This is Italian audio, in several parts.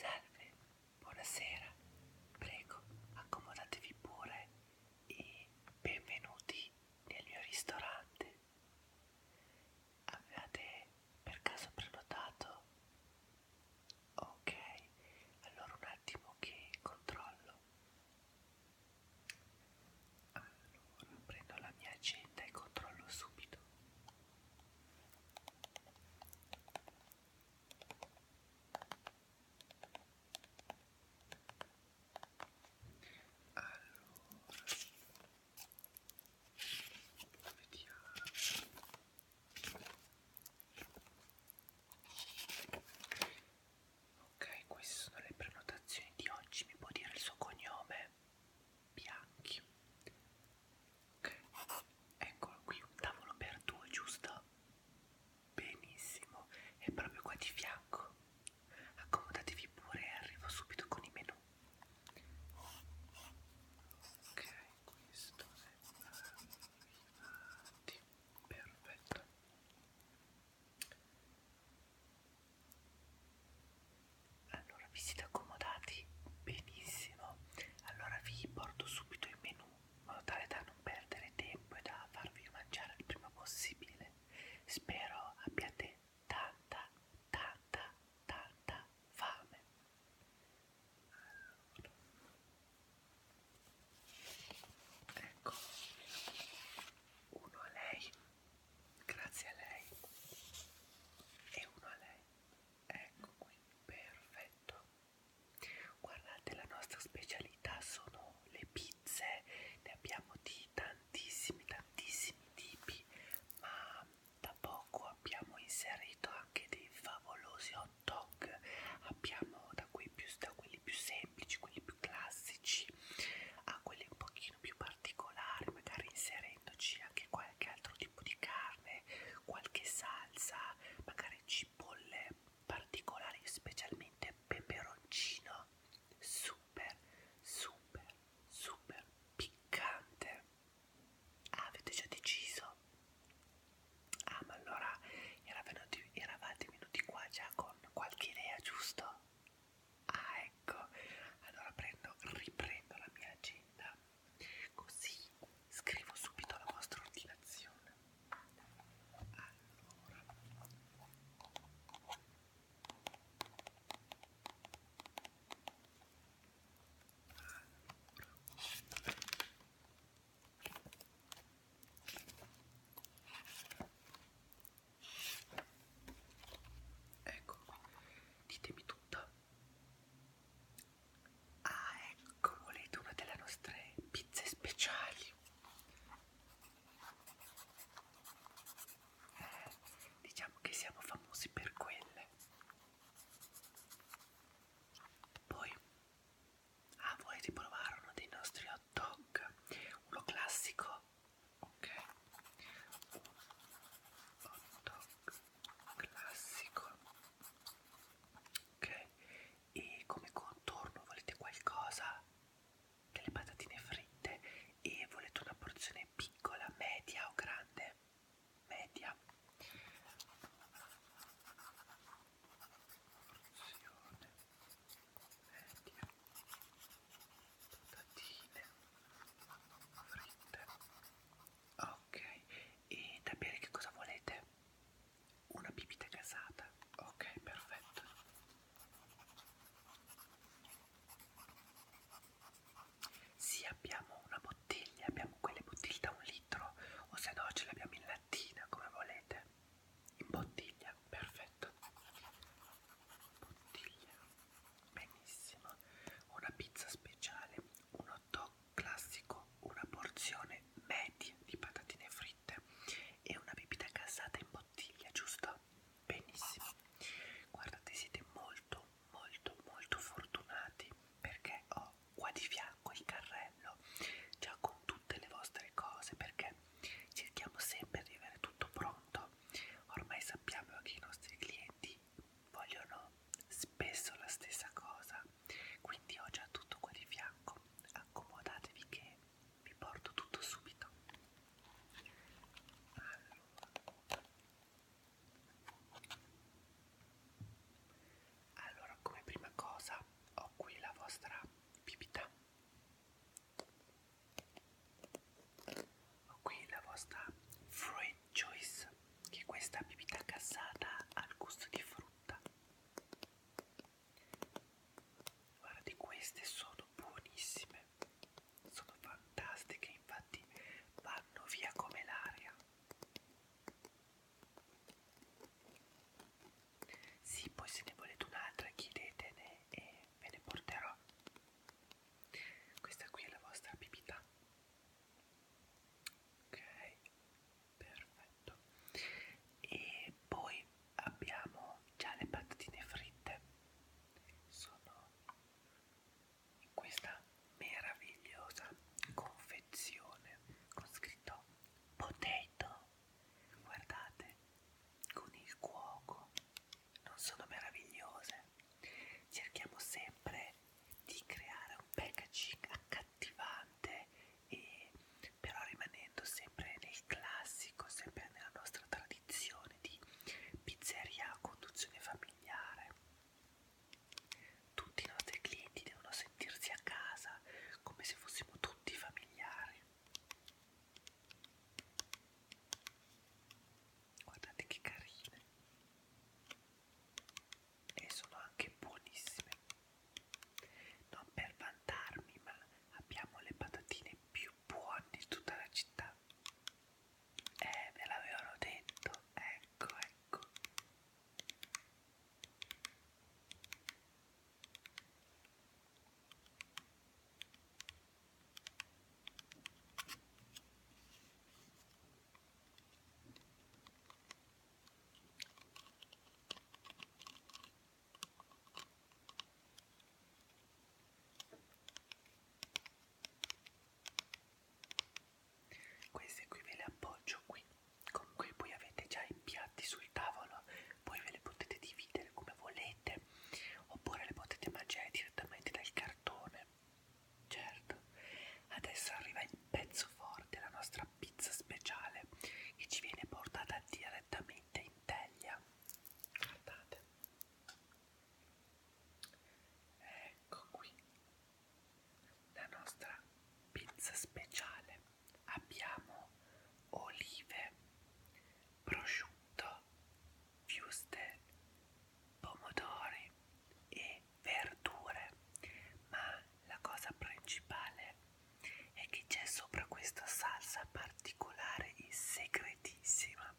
Salve, buonasera, prego accomodatevi pure e benvenuti nel mio ristorante. Avevate per caso prenotato? Ok, allora un attimo che controllo. Allora prendo la mia agenda e controllo subito. Allora, vediamo. Ok, queste sono le prenotazioni di oggi. Mi può dire il suo cognome? bianchi ok eccolo qui un tavolo per due giusto benissimo e proprio qua di fianco accomodatevi pure e arrivo subito con i menù ok questo è arrivati perfetto allora vi siete accomodati? Benissimo. Allora vi porto subito il menù in modo tale da non perdere tempo e da farvi mangiare il prima possibile. Spero abbiate tanta, tanta, tanta fame. Allora. Ecco, uno a lei, grazie a lei e uno a lei ecco qui perfetto guardate la nostra specialità sono le pizze ne abbiamo di tantissimi tantissimi tipi ma da poco abbiamo inserito anche dei favolosi hot dog abbiamo da, più, da quelli più semplici quelli più classici a quelli un pochino più particolari magari inseriti mettendoci anche qualche altro tipo di carne, qualche salsa, magari cipolle particolari, specialmente peperoncino, super, super, super piccante. Ah, avete già deciso? Ah, ma allora eravate, eravate venuti qua già con qualche idea, giusto? Ah, ecco, allora prendo, riprendo la mia agenda Così scrivo subito la vostra ordinazione. Allora. allora. Ecco, ditemi tutta Ah, ecco, volete una delle nostre pizze speciali? Eh, diciamo che siamo famosi per quelle. Poi, ah, volete provare uno dei nostri hot dog? Uno classico? Ok. Un hot dog classico ok e come contorno volete qualcosa delle patatine fritte e volete una porzione piccola media o grande media porzione media patatine fritte ok e da bere che cosa volete una bibita gasata ok perfetto sì abbiamo una bottiglia abbiamo quelle bottiglie da un litro o se no ce le abbiamo in lattina come volete in bottiglia perfetto bottiglia benissimo una pizza speciale, un hot dog classico, una porzione media di patatine fritte e una bibita gassata in bottiglia, giusto? Benissimo. Guardate, siete molto, molto, molto fortunati perché ho qua di fianco il carrello già con tutte le vostre cose perché cerchiamo sempre di avere tutto pronto. Ormai sappiamo che i nostri clienti vogliono spesso la stessa cosa quindi ho già tutto qua di fianco accomodatevi che vi porto tutto subito allora, allora come prima cosa ho qui la vostra bibita qui la vostra fruit juice che è questa bibita gassata al gusto di frutta guardate queste sono buonissime sono fantastiche infatti vanno via come l'aria sì poi se ne volete un'altra chiedetene e ve ne porterò questa qui è la vostra bibita. Ok, perfetto. E poi abbiamo già le patatine fritte. Sono in questa meravigliosa confezione con scritto potato. Guardate, con il cuoco. Non sono meravigliose? cerchiamo sempre di creare un packaging accattivante e però rimanendo sempre nel classico, sempre nella nostra tradizione di pizzeria a conduzione familiare. Tutti i nostri clienti devono sentirsi a casa come se fossimo tutti familiari guardate che carine e sono anche buonissime non per vantarmi ma abbiamo le patatine più buone di tutta la città eh ve l'avevano detto ecco ecco queste qui ve le appoggio qui, comunque poi avete già i piatti sul tavolo, poi ve le potete dividere come volete vite oppure le potete mangiare direttamente dal cartone certo adesso arriva il pezzo forte la nostra pizza speciale che ci viene portata direttamente in teglia guardate ecco qui la nostra pizza speciale abbiamo olive prosciutto fuste, pomodori e verdure, ma la cosa principale è che c'è sopra questa salsa particolare e segretissima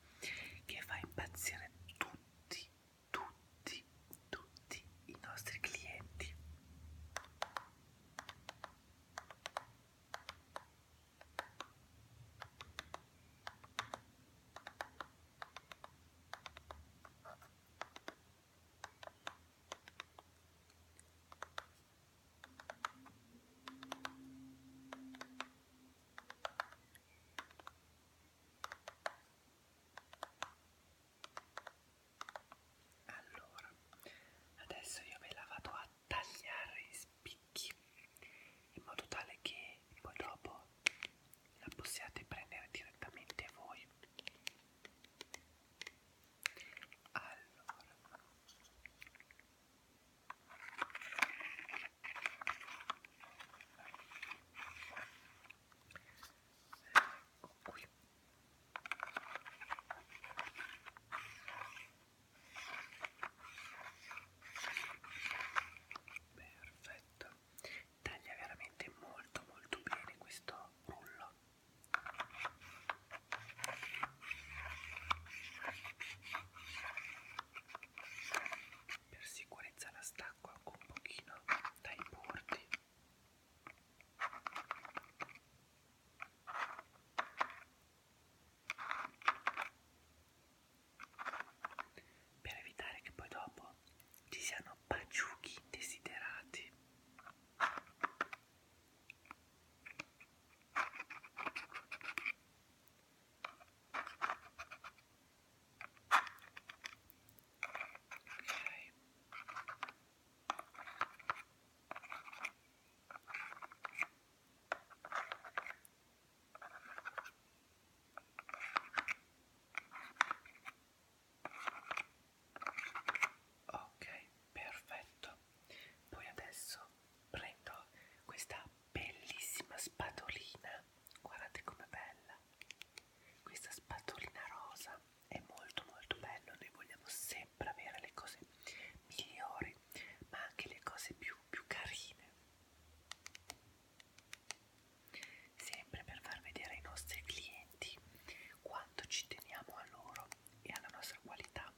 che fa impazzire tutti, tutti, tutti i nostri clienti. Allora, adesso io ve la vado a tagliare i spicchi in modo tale che poi dopo la possiate prendere direttamente voi allora ecco qui Perfetto, taglia veramente molto molto bene questo rullo. Per sicurezza la stacco anche un pochino dai bordi per evitare che poi dopo ci siano baciuchi desiderati okay. Ok, perfetto. Poi adesso prendo questa bellissima spatolina. Guardate com'è bella. Questa spatolina rosa è molto molto bella. Noi vogliamo sempre avere le cose migliori, ma anche le cose più, più carine. Sempre per far vedere ai nostri clienti quanto ci teniamo a loro e alla nostra qualità.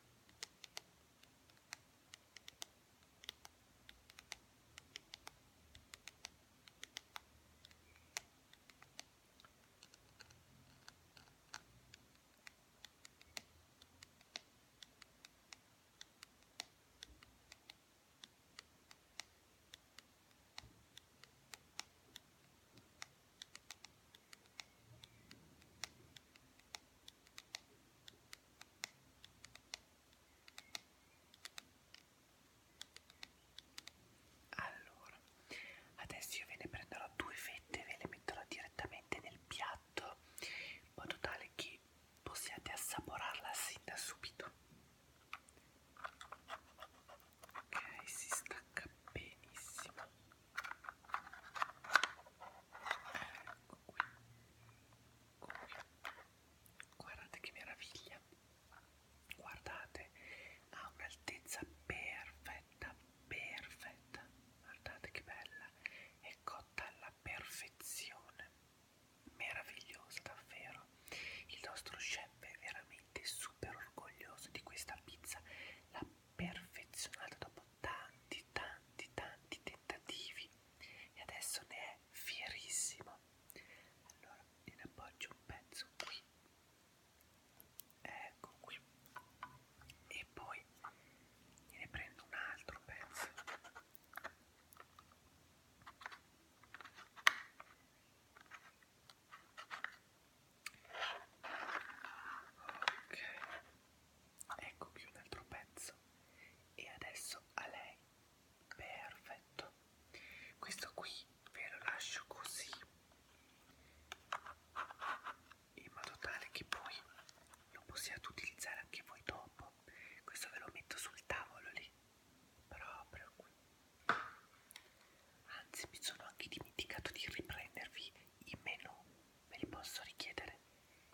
Allora, adesso io ve ne prenderò due fette e ve le metterò direttamente nel piatto piatto in modo tale che possiate assaporarla sin da subito ok si stacca benissimo ecco qui. Ecco qui guardate che meraviglia guardate ha un'altezza perfetta perfetta guardate che bella è cotta alla perfezione meravigliosa davvero il nostro chef è veramente super orgoglioso di questa pizza l'ha perfezionata dopo tanti tanti tanti tentativi e adesso ne è fierissimo allora ne appoggio un pezzo qui ecco qui e poi ne prendo un altro pezzo ok ecco qui un altro pezzo e adesso a lei perfetto questo qui ve lo lascio così in modo tale che poi lo possiate utilizzare anche voi dopo questo ve lo metto sul tavolo lì proprio qui anzi mi sono anche dimenticato di riprendervi i menu ve li posso richiedere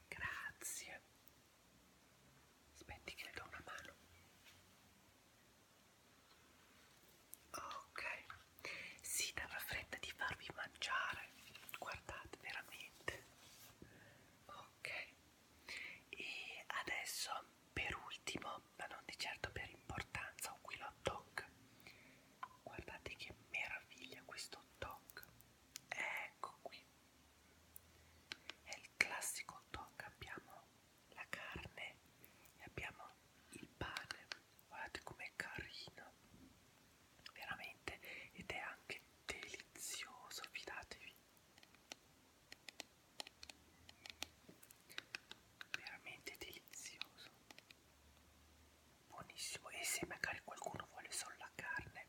grazie aspetti che le do una mano ok si dava fretta di farvi mangiare fare guardate veramente ok e adesso per ultimo ma non di certo per importanza ho qui lo toc guardate che meraviglia questo toc ecco qui è il classico toc abbiamo la carne e abbiamo il pane guardate com'è carina veramente ed è anche delizioso fidatevi veramente delizioso buonissimo e se magari qualcuno vuole solo la carne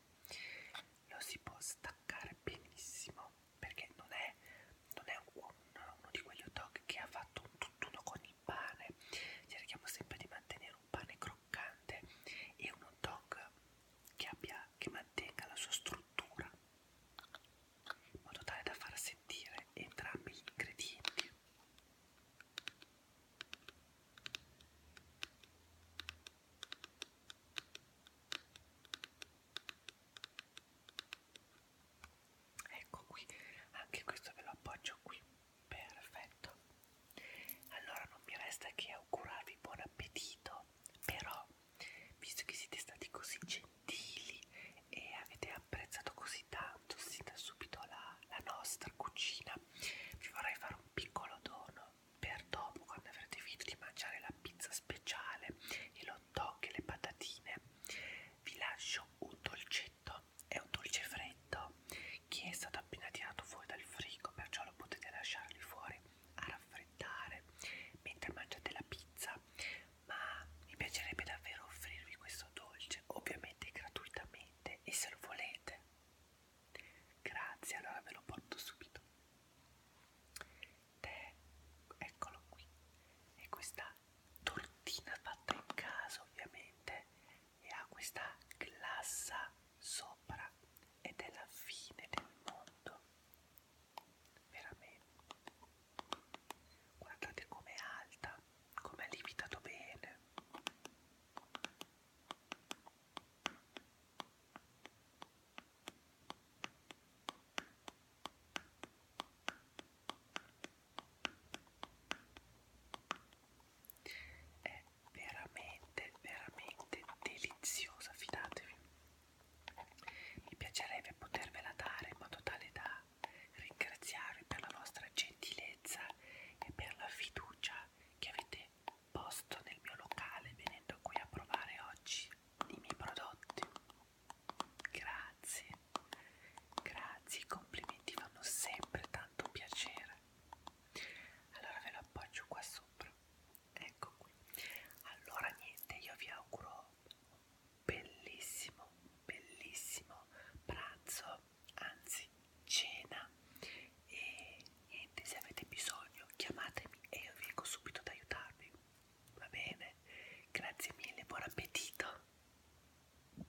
lo si può staccare benissimo perché non è, non è un, uno di quegli hot dog che ha fatto un tutt'uno con il pane cerchiamo sempre di mantenere un pane croccante croccante e un hot dog che, abbia, che mantenga la sua struttura in modo tale da far sentire entrambi gli ingredienti ecco qui anche questo ve lo appoggio qui Perfetto. Allora non mi resta che augurarvi buon appetito, però visto che siete stati così gentili e avete apprezzato così tanto sin da subito la, la nostra cucina, vi vorrei fare un piccolo dono per dopo quando avrete finito di mangiare la pizza speciale e l'hot dog e le patatine. Vi lascio un dolcetto dolcetto è un dolce freddo che è stato appena tirato fuori dal frigo perciò lo potete lasciarli fuori a raffreddare mentre mangiate la pizza ma mi piacerebbe davvero offrirvi questo dolce ovviamente gratuitamente e se lo volete grazie allora ve lo porto subito tè eccolo qui e questa tortina fatta in casa ovviamente e ha questa glassa sopra ed è la fine del mondo veramente guardate com'è alta come è lievitato bene è veramente veramente deliziosa fidatevi mi piacerebbe potervela dare in modo tale da ringraziarvi per la vostra gentilezza e per la fiducia che avete posto nel mio locale venendo qui a provare oggi i miei prodotti grazie Grazie, i complimenti fanno sempre tanto piacere. Allora ve lo appoggio qua sopra. Ecco qui. Allora niente, io vi auguro un bellissimo, bellissimo pranzo, anzi cena. E niente, se avete bisogno chiamatemi e io vengo subito ad aiutarvi. Va bene? Grazie mille, buon appetito!